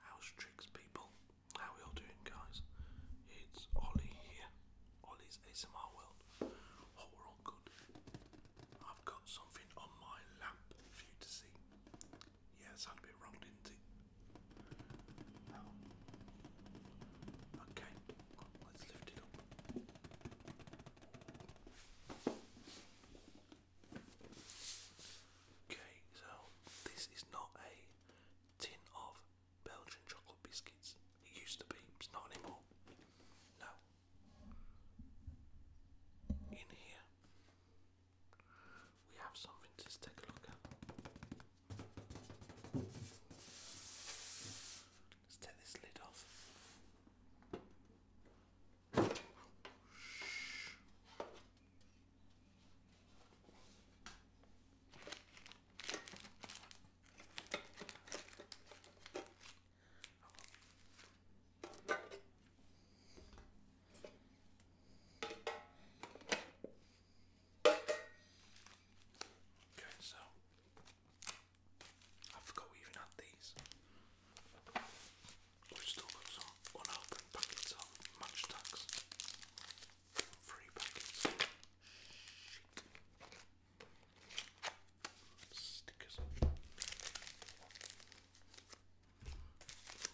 House tricks people. How we all doing guys? It's Ollie here. Ollie's ASMR World. Hope good. I've got something on my lamp for you to see. Yeah, sounded a bit wrong, didn't it? Oh. Okay, let's lift it up. Okay, so this is not a tin of Belgian chocolate biscuits. It used to be, it's not anymore. No. In here, we have something to take a look Let's take this lid off. Okay, so I forgot we even had these. We've still got some unopened packets of match Three packets. Stickers.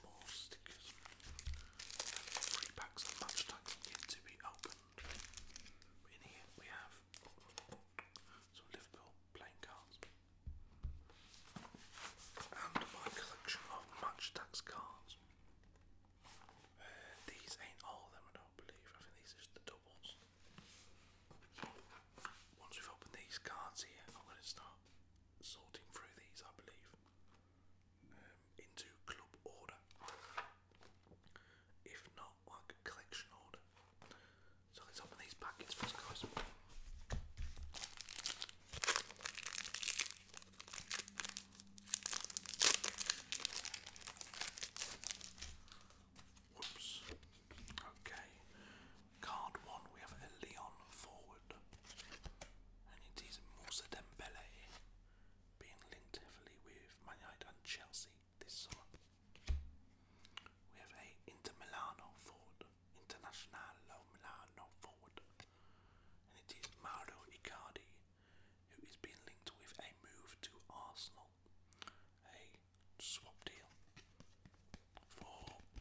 More stickers. Three packs of match tags to be opened. In here we have some Liverpool playing cards and my collection of Matchbox cards. Uh, these ain't all of them, I don't believe. I think these are just the doubles. Once we've opened these cards here, I'm going to start sorting through these, I believe, um, into club order. If not, like collection order. So let's open these packets first, guys. Whoops. Okay. Card one, we have a Leon forward, and it is Moussa Dembele, being linked heavily with Man United and Chelsea this summer. We have a Inter Milano forward, Internazionale Milano forward, and it is Mauro Icardi who is being linked with a move to Arsenal, a swap deal for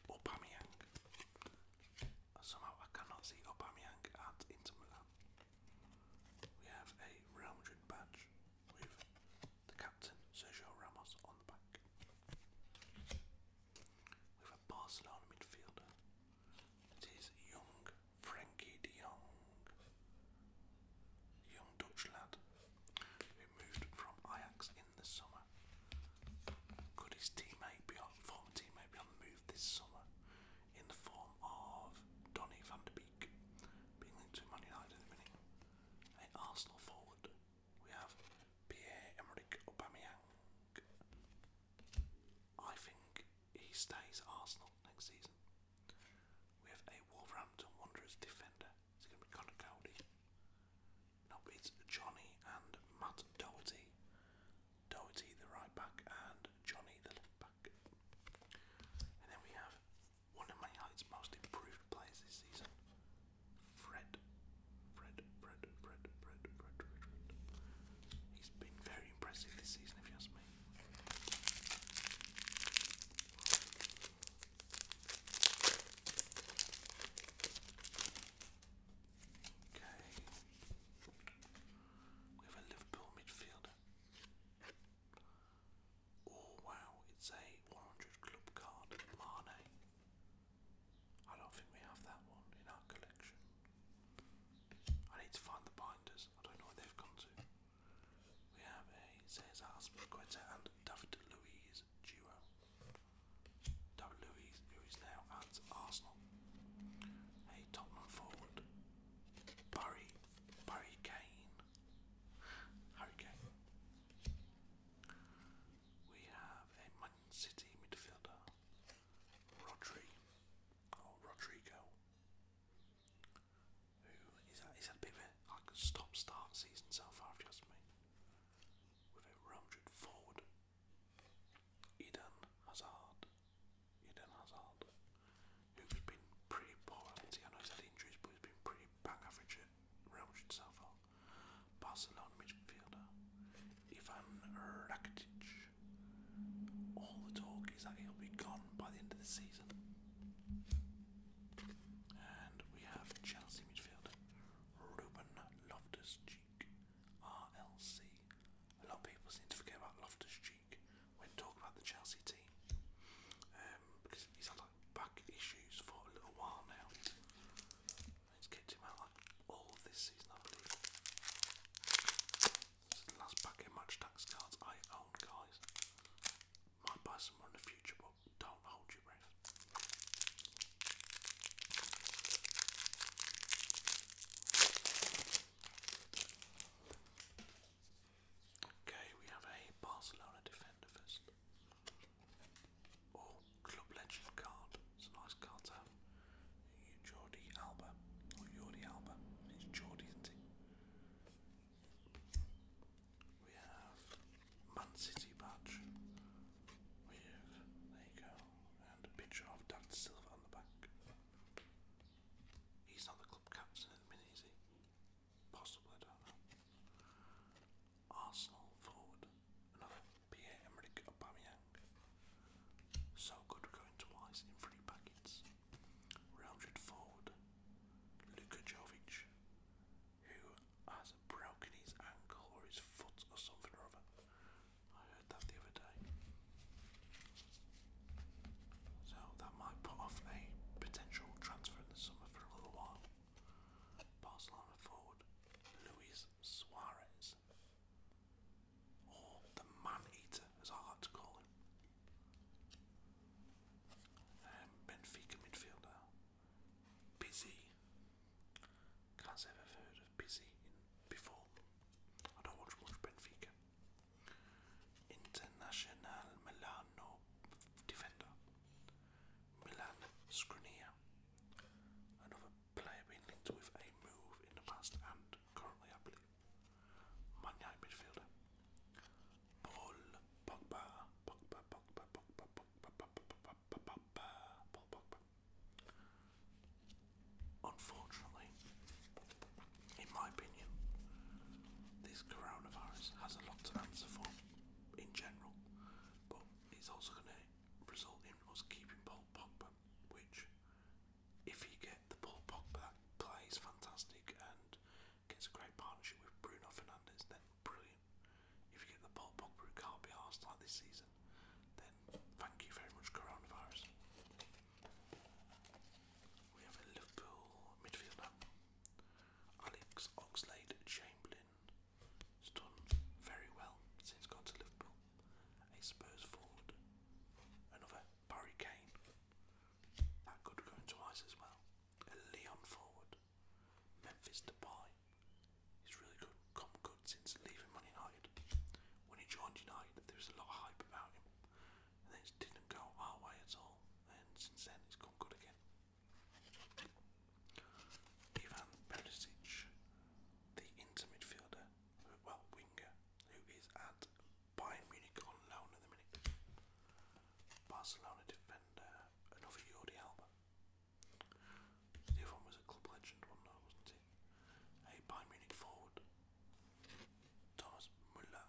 Aubameyang. Somehow I cannot see Aubameyang at Inter Milan. We have a Real Madrid badge with the captain Sergio Ramos on the back with a Barcelona midfielder. It is young Frankie de Jong, young Dutch lad who moved from Ajax in the summer. Could his teammate be on, former teammate be on the move this summer in the form of Donny van de Beek being linked to Man United in the minute? A Arsenal forward. We have Pierre-Emerick Aubameyang. I think he stays Arsenal next season. We have a Wolverhampton Wanderers defender. It's going to be Connor Cody. No, it's Johnny and Matt Doherty. Doherty the right back and Johnny the left back. And then we have one of Man United's most improved players this season, Fred. Fred, Fred, Fred, Fred, Fred, Fred, He's been very impressive this season, if you ask me. Okay. We have a Liverpool midfielder. Oh wow, it's a 100 club card, Mane. I don't think we have that one in our collection. I need to find the binders. I don't know where they've gone to. We have a Cesar Azpilicueta and David Luiz duo. David Luiz, who is now at Arsenal. A Tottenham forward. Barry, Barry Kane. Harry Kane. We have a Man City midfielder. Rodri, or oh, Rodrigo, who is that? a bit of a like stop-start season so far, if you me. With a rounded forward, Eden Hazard, Eden Hazard, who's been pretty poor. I know he's had injuries, but he's been pretty bang average at rounded so far. Barcelona midfielder Ivan Rakitic. All the talk is that he'll be gone by the end of the season. And we have Chelsea midfielder Ruben Loftus Cheek, RLC. A lot of people seem to forget about Loftus Cheek when talking about the Chelsea team um, because he's had back issues for a little while now. It's kept out like all oh, this season, I believe. This the last packet of match tax cards I own, guys. Might buy some more in the future, but don't hold your breath. Okay, we have a Barcelona defender first. Oh, Club Legend card. It's a nice card to have. Jordi Alba. Or Jordi Alba. It's Jordi, We have Man City badge. We have, there you go, and a picture of Dad Silva on the back. He's not the club captain at the minute, is Possibly, I don't know. Arsenal forward, another Pierre-Emerick Aubameyang. So good going twice in three packets. Real Madrid forward, Luka Jovic, who has broken his ankle or his foot or something or other. I heard that the other day. So that might put off a potential transfer in the summer for a little while. Barcelona forward, Luis Suarez or oh, the man eater, as I like to call him. Um, Benfica midfielder, Busy. Can't say have heard of Busy before. I don't watch much Benfica. International Milano defender, Milan Skriniar, another player linked with a move in the past and currently, I believe. Man United midfielder. Paul Pogba. Unfortunately, in my opinion, this coronavirus has a lot to answer for in general, but it's also going result us keeping Paul Pogba, which, if you get the Paul Pogba plays fantastic and gets a great partnership with Bruno Fernandes, then brilliant. If you get the Paul Pogba who can't be arsed like this season, then thank you very much, coronavirus. We have a Liverpool midfielder, Alex Oxlade Chamberlain. He's done very well since gone to Liverpool. A Spurs forward. Another Barry Kane. That could go into as well. A Leon forward. Memphis Depay. He's really good, come good since leaving United. When he joined United, there was a lot of hype about him, and it didn't go our way at all. And since then, he's come good again. Ivan Perisic, the inter midfielder, well, winger, who is at Bayern Munich on loan at the minute. Barcelona defender, another Jordi Alba. The was a club legend wasn't it? A Bayern Munich forward. Thomas Muller,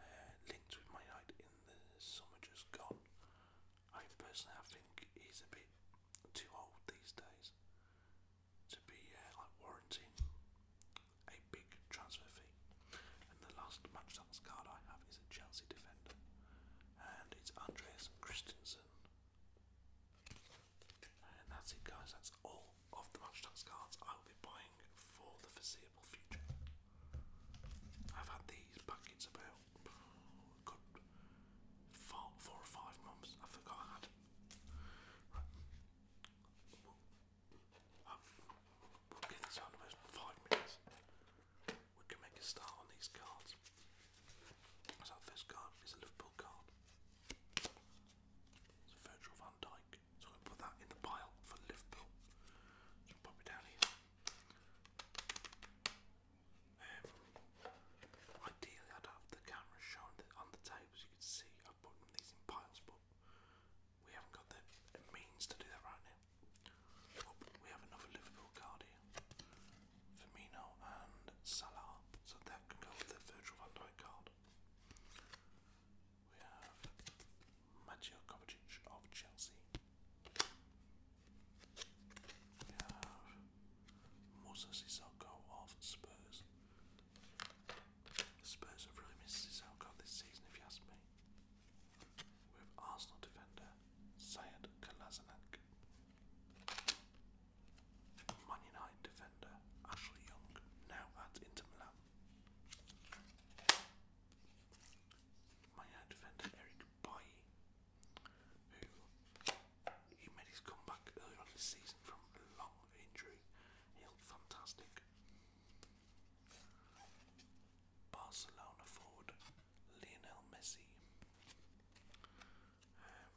uh, linked with my United in the summer just gone, I personally I think he's a bit too old these days to be uh, like warranting a big transfer fee. And the last match card I have is a Chelsea defender, and it's Andreas Christensen. And that's it, guys. That's all of the match cards I will be buying for the foreseeable future. I've had these packets about Oh, good four, four or five months. I forgot Right. we'll give this round about five minutes. We can make a start on these cards. So first card is a Liverpool card. It's Virgil van Dijk. So I'm put that in the pile for Liverpool. So pop it down here. Um, ideally, I'd have the camera shown on the table you can see I've put these in piles, but we haven't got the means to do that right now. we have another Liverpool card here. Firmino and Salah, so that can go with the Virgil van card. We have Mateo Kovacic of Chelsea. Yeah. Musa Sissoko off Spurs. The Spurs have really missed Sissoko this season, if you ask me. With Arsenal defender Sayed Kalazanak. Man United defender Ashley Young, now at Inter Milan. Man United defender Eric Bailly, who he made his comeback earlier on this season from a long injury. He looked fantastic. Barcelona forward Lionel Messi. Um,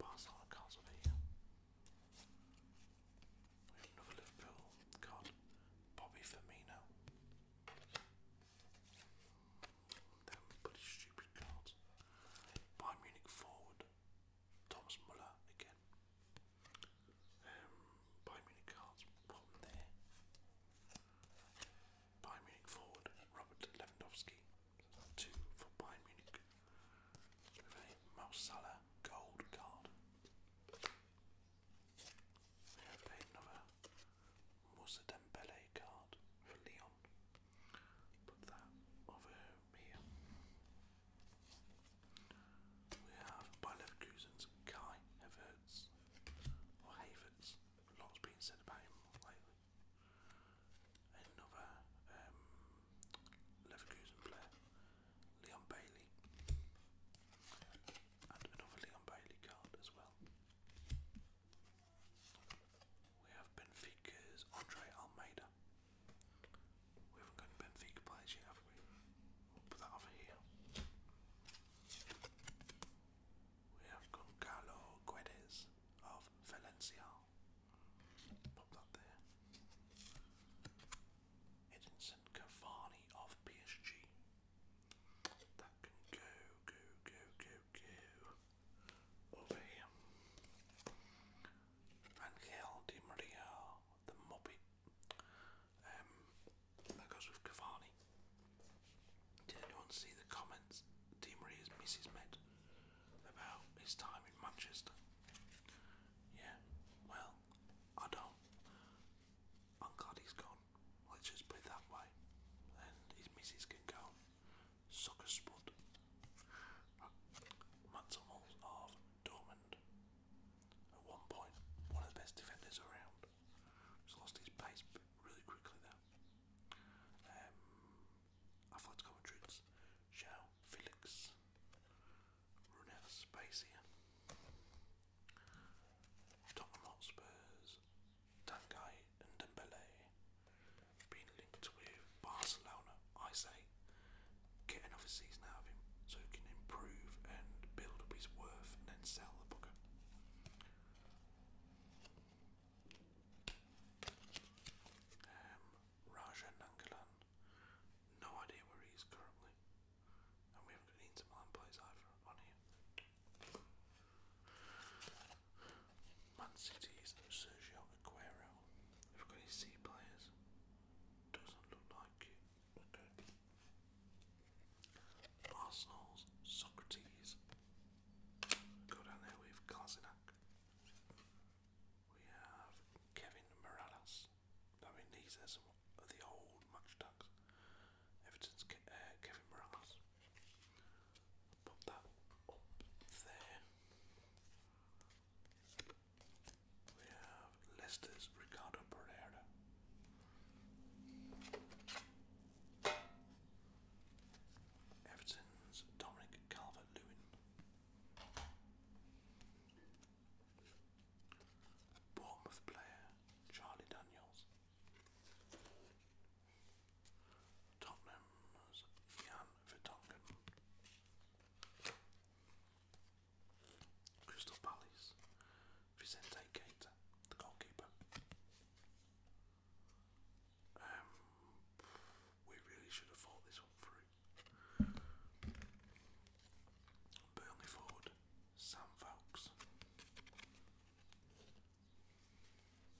Barcelona cards We have another Liverpool card. Bobby Firmino. Them pretty stupid cards. Bayern Munich forward, Thomas Muller again. Um, Bayern Munich cards, there. Bayern Munich forward, Robert Lewandowski. two for Bayern Munich. With a gold card. We another Moussa Dembele card for Leon. Put that over here. We have by Leverkusen's Kai Havertz or Havertz. Lots being said about him lately. Another um, Leverkusen player, Leon Bailey, and another Leon Bailey card as well. We have Benfica's Andre Almeida. We haven't got Benfica players yet, have we? put that over here. We have Goncalo Guedes of Valencia. Pop that there. Edinson Cavani of PSG. That can go, go, go, go, go over here. Angel Di Maria, the Muppet. Um, that goes with Cavani. Did anyone see the comments Di Maria's missus made about his time in Manchester? Yeah, well, I don't. I'm glad he's gone. Let's just put it that way. And his missus can go. Soccer Spud, Mattermulls of Dortmund, at one point one of the best defenders around, just lost his pace really quickly there. Um, Athletic Commentaries, Zhao Felix, run out of space here. Tottenham Hotspurs, Tanguy and Dembele being linked with Barcelona. I say get another season out of him so he can improve and build up his worth and then sell the booker. Um, Raja Nangalan, no idea where he is currently, and we haven't got Inter Milan players either on here. Man City's Sergio Aguero. I've got his C players. Doesn't look like it. Arsenal's Socrates. Go down there with Klasinak. We have Kevin Morales. I mean, these are some of the old match tags. Everton's uh, Kevin Morales. Pop that up there. We have Leicester's Ricardo Pereira. Everton's Dominic Calvert Lewin. Bournemouth player Charlie Daniels. Tottenham's Jan Vertonghen. Crystal Palace, Vicente Keita, the goalkeeper. Um, we really should have thought this one through. Burnley forward, Sam Vokes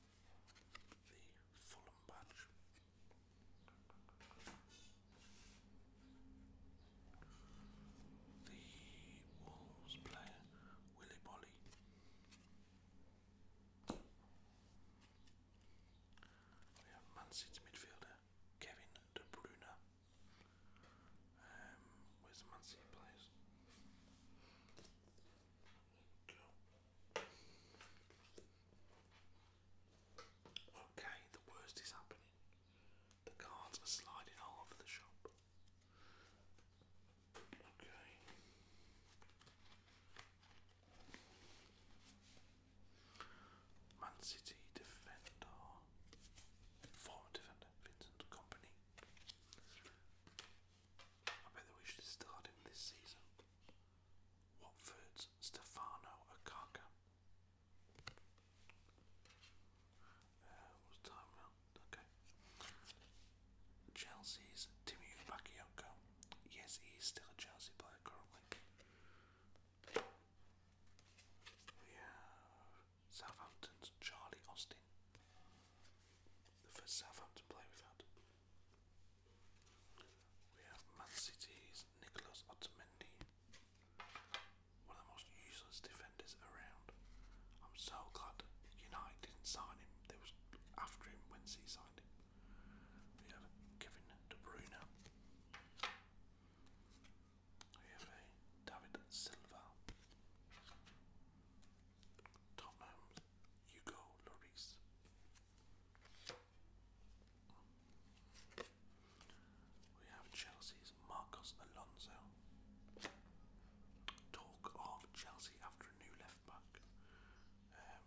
the Fulham badge. The Wolves player Willy Bolly. We have Man midfielder Kevin De Bruyne. Um, where's the Man Okay, the worst is happening. The cards are sliding all over the shop. Okay. Man City defender, former defender Vincent Company, I bet that we should start him this season. Watford's Stefano Akaka. Uh, what's time now? Okay. Chelsea's Timmy Bakayoko. Yes, he's still a Chelsea player currently. We have Southampton's Charlie Austin. The first Southampton player we've had. We have Man City's Nicolas Otamendi, one of the most useless defenders around. I'm so glad United didn't sign him. They was after him when he signed him. We have Kevin De Bruyne. We have David Silva. Tom Holmes, Hugo Lloris. We have Chelsea's Marcos Alonso. Talk of Chelsea after a new left back um,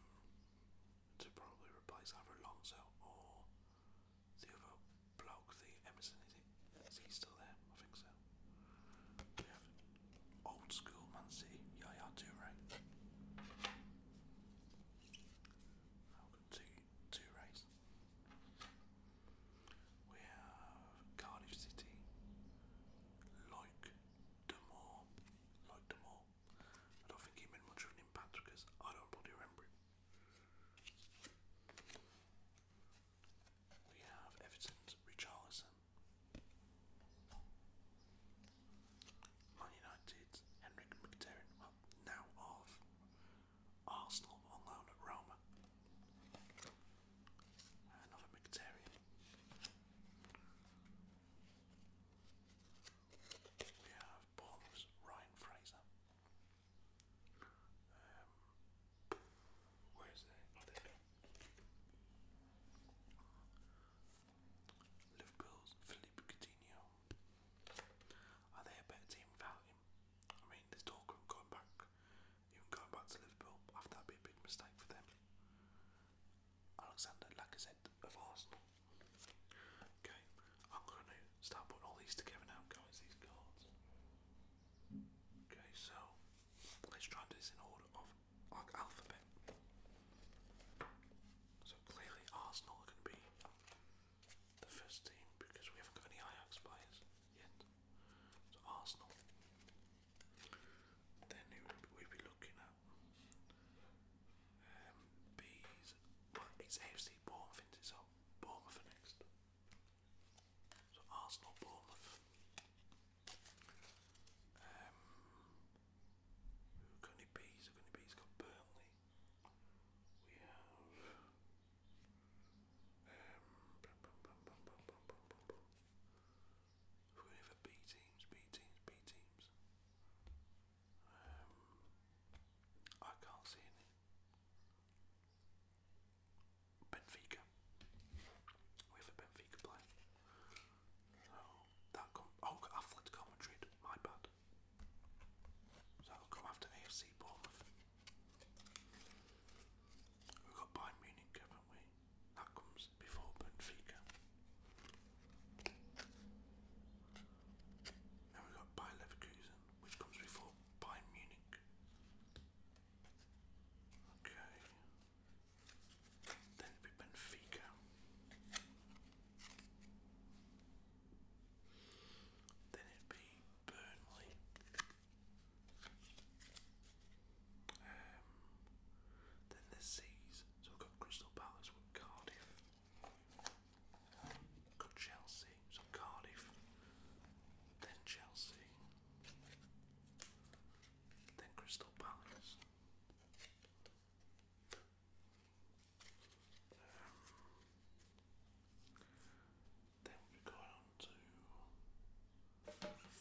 to probably replace either Alonso or the other bloke, the Emerson. Is, it, is he still there? I think so old school Man Yeah, yeah, Toure. Now two, two rays. We have Cardiff City, Loic Damore. Loic Damore. I don't think he made much of an impact because I don't bloody remember it. We have Everton's Richarlison, Man United's Henrik Mkhitaryan, well, now of Arsenal on loan at Roma. Another Mkhitaryan. We have Bournemouth's Ryan Fraser. Um, where is that? Oh, Liverpool's Philippe Coutinho. Are they a better team without him? I mean, there's talk of going back, even going back to Liverpool. After that'd be a big mistake for them. Alexander Lacazette of Arsenal. Okay, I'm gonna start putting all these together now, guys. These cards. Okay, so let's try and do this in order of like Alphabet. So clearly Arsenal are going to be the first team because we haven't got any Ajax players yet. So Arsenal. Then we'd be looking at um, B's. Well, AFC Bournemouth, it's Bournemouth next. So Arsenal, Bournemouth. Um, who can it be? Who can it be? It's got Burnley. We have. We're going teams, B teams, B teams. I can't see any. Benfica. We have a Benfica player. So that come oh I've flipped Real Madrid, my bad. So that'll come after AFC Bournemouth. we got Bayern Munich, haven't we? That comes before Benfica. Now we got Bayer Leverkusen, which comes before Bayern Munich. Okay. Then it'd be Benfica. Then it'd be Burnley. Um, then the C's. So we've got Crystal Palace with Cardiff. We've got Chelsea. So Cardiff. Then Chelsea than Crystal Palace. Um, then we go on to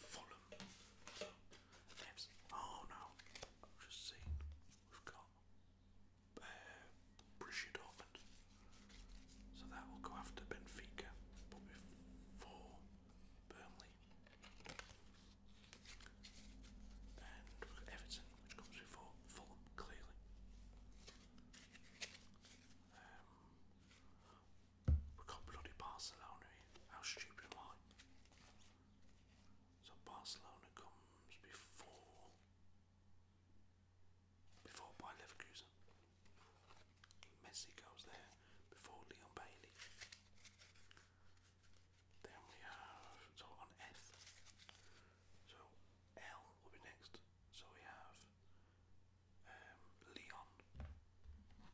Fulham. Oh no, just seen we've got uh, Borussia Dortmund. So that will go after Benfica, but before Burnley. And Everton, which comes before Fulham, clearly. Um, we've got bloody Barcelona How stupid am I? So Barcelona comes before before by Leverkusen. Messi goes there before Leon Bailey. Then we have, so on F, so L will be next. So we have um, Leon,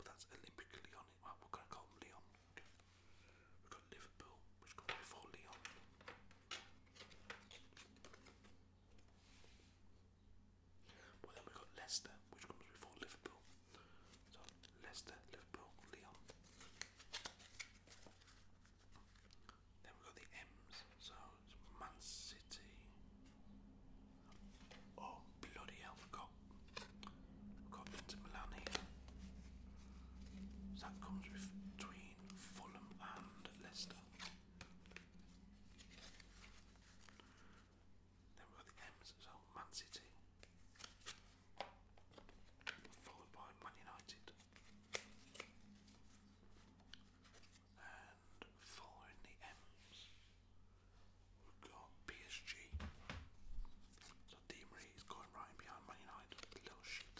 but that's Olympic Leon. Well, we're going to call Leon. We've got Liverpool, which goes before Leon. Well, then we've got Leicester, which comes before Liverpool. So Leicester, Liverpool, Lyon. Then we've got the M's, so Man City. Oh bloody hell, we've got, we've got Inter Milan here. So that comes between Fulham and Leicester. Then we've got the M's as Man City, followed by Man United, and following the M's, we've got PSG. So Di is going right behind Man United, little shit.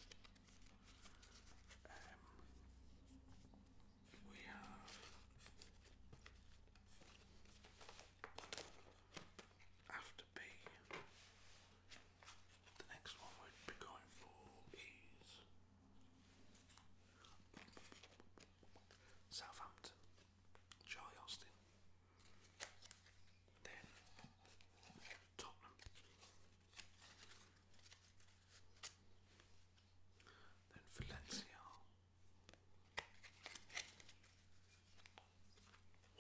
Um, we have after B, the next one we'd be going for is Southampton, Then Tottenham. Then Valencia.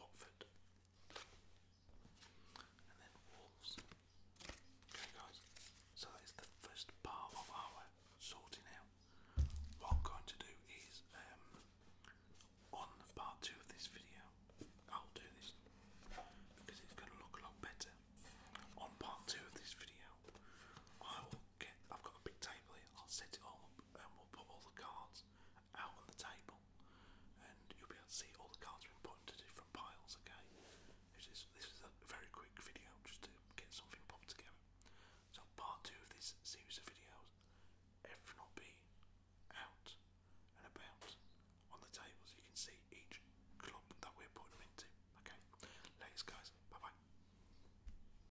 Watford. And then Wolves. Okay guys, so that is the first part of our sorting out. What I'm going to do is um, on part two of this video, I'll do this because it's going to look a lot better. On part two of this video, I will get. I've got a big table I'll set it all up, and we'll put all the cards out on the table and you'll be able to see all the cards have been put into different piles, okay? This is, this is a very quick video just to get something put together. So part two of this series of videos, everything will be out and about on the table so you can see each club that we're putting them into. Okay, ladies guys, bye bye.